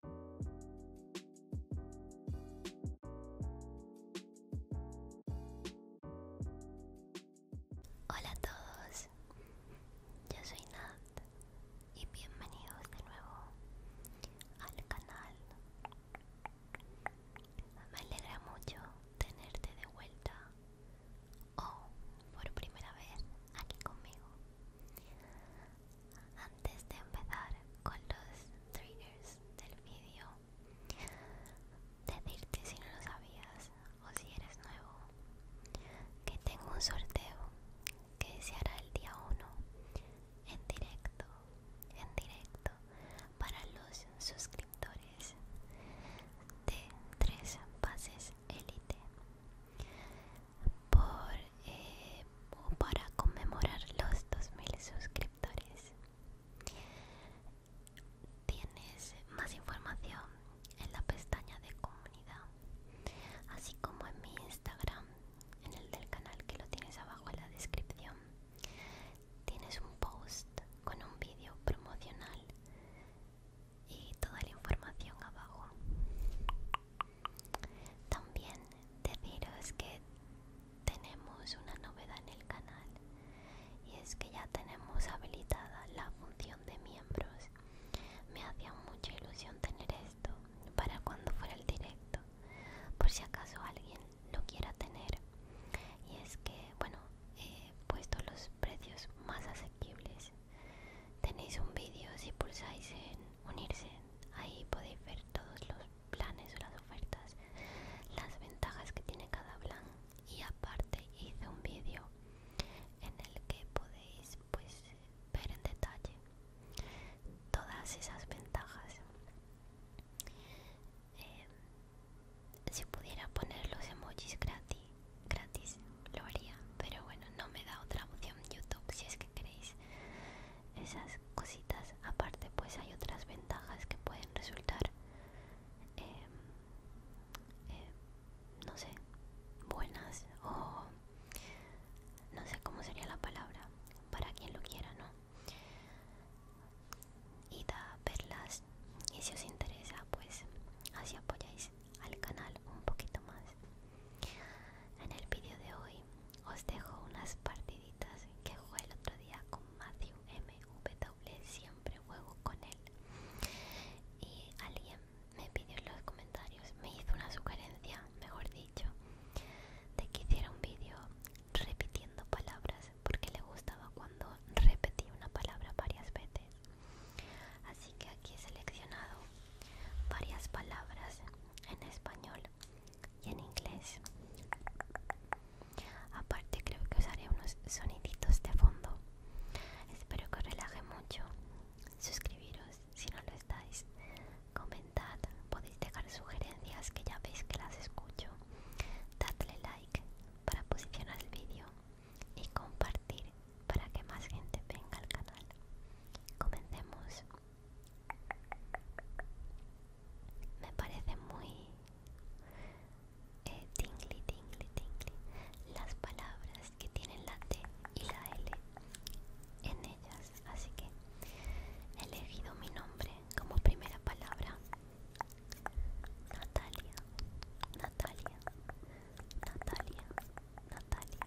Hola a todos, yo soy Nat y bienvenidos de nuevo al canal. Me alegra mucho tenerte de vuelta o por primera vez aquí conmigo. Antes de empezar con los triggers del vídeo, decirte si no lo sabías o si eres nuevo, que tengo un sorteo que se hará el día 1 en directo, en directo para los suscriptores de tres pases élite por eh, para conmemorar los 2000 suscriptores. Tienes más información en la pestaña de comunidad, así como en mi Instagram, en el del canal que lo tienes abajo en la descripción. Tienes un post con un vídeo promocional y toda la información abajo. También deciros que tenemos una novedad en el canal y es que ya tenemos habilitada la función de miembros. Me hacía mucha ilusión tener esto para cuando fuera el directo, por si acaso alguien lo quiera tener. Y es que, bueno, he puesto los precios más asequibles. Tenéis un vídeo si pulsáis en unirse ahí podéis ver todos los planes o las ofertas las ventajas que tiene cada plan y aparte hice un vídeo en el que podéis pues, ver en detalle todas esas ventajas eh, si pudiera poner los emojis gratis gratis lo haría pero bueno no me da otra opción youtube si creéis queréis esas cositas aparte pues hay otras ventajas que pueden resultar eh, eh, no sé buenas o no sé cómo sería la palabra para quien lo quiera no y da y si os interesa pues así apoyáis al canal un poquito más en el vídeo de hoy os dejo unas partiditas que jugué el otro día con Matthew MW siempre juego con él. Y alguien me pidió en los comentarios, me hizo una sugerencia, mejor dicho, de que hiciera un vídeo repitiendo palabras porque le gustaba cuando repetía una palabra varias veces. Así que aquí he seleccionado varias palabras en español y en inglés. Aparte creo que usaré unos soniditos de fondo. Espero que os relaje mucho. Suscribiros si no lo estáis. Comentad, podéis dejar sugerencias que ya veis que las escucho. Dadle like para posicionar el vídeo y compartir para que más gente venga al canal. Comencemos. Me parece muy eh, tingly, tingly, tingly las palabras que tienen la T y la L en ellas. Así que he elegido mi nombre como primera palabra. Natalia, Natalia, Natalia, Natalia.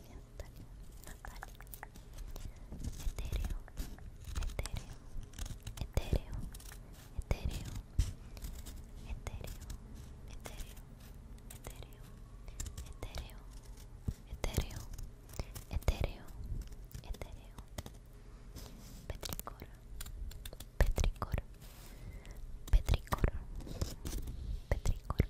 Etéreo, etéreo, etéreo, etéreo Etéreo, etéreo, etéreo, etéreo, etéreo, etéreo, etéreo Petricor, petricor, petricor, petricor, petri,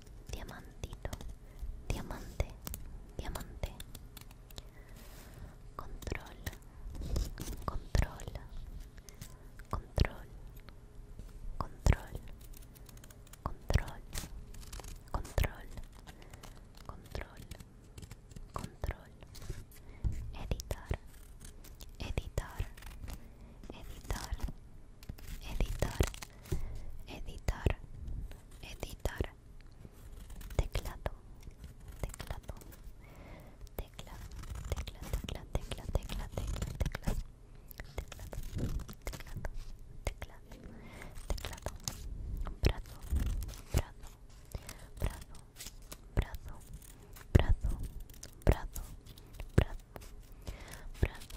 diamantito, diamante, diamante. Control, control, control, control, control, control, control, control. Editar, editar, editar, editar, editar teclado teclado tecla tecla tecla tecla tecla teclado teclado teclado teclado brazo brazo brazo brazo brazo brazo brazo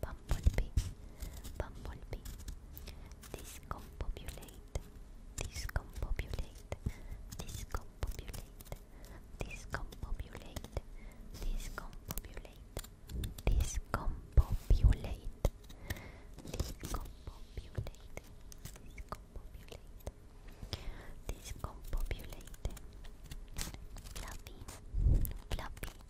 Bumblebee, Bumblebee, discompopulate, discompopulate, discompopulate, discompopulate, discompopulate, discompopulate, discompopulate, discompopulate, discompopulate, fluffy, fluffy.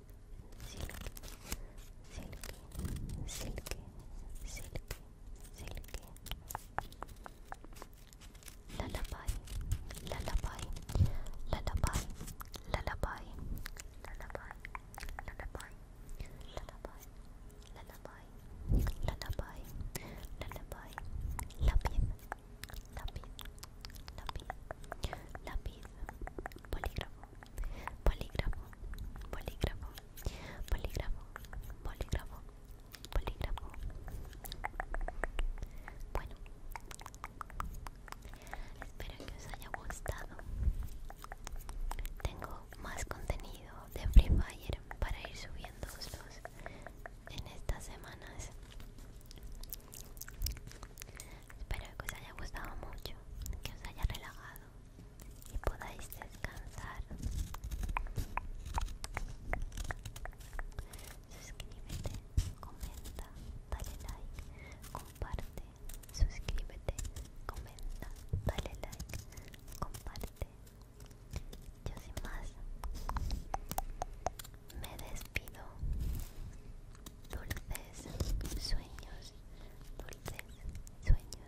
silky, silky, silky, silky. la lápiz, polígrafo, polígrafo, polígrafo, polígrafo, polígrafo. Bueno, espero que os haya gustado. Tengo más contenido de Free Fire para ir subiendo en estas semanas. Espero que os haya gustado mucho, que os haya relajado y podáis descansar. Suscríbete, comenta, dale like, comparte, suscríbete, comenta, dale like, comparte. Yo sin más me despido. Dulces sueños dulces sueños, dulces sueños.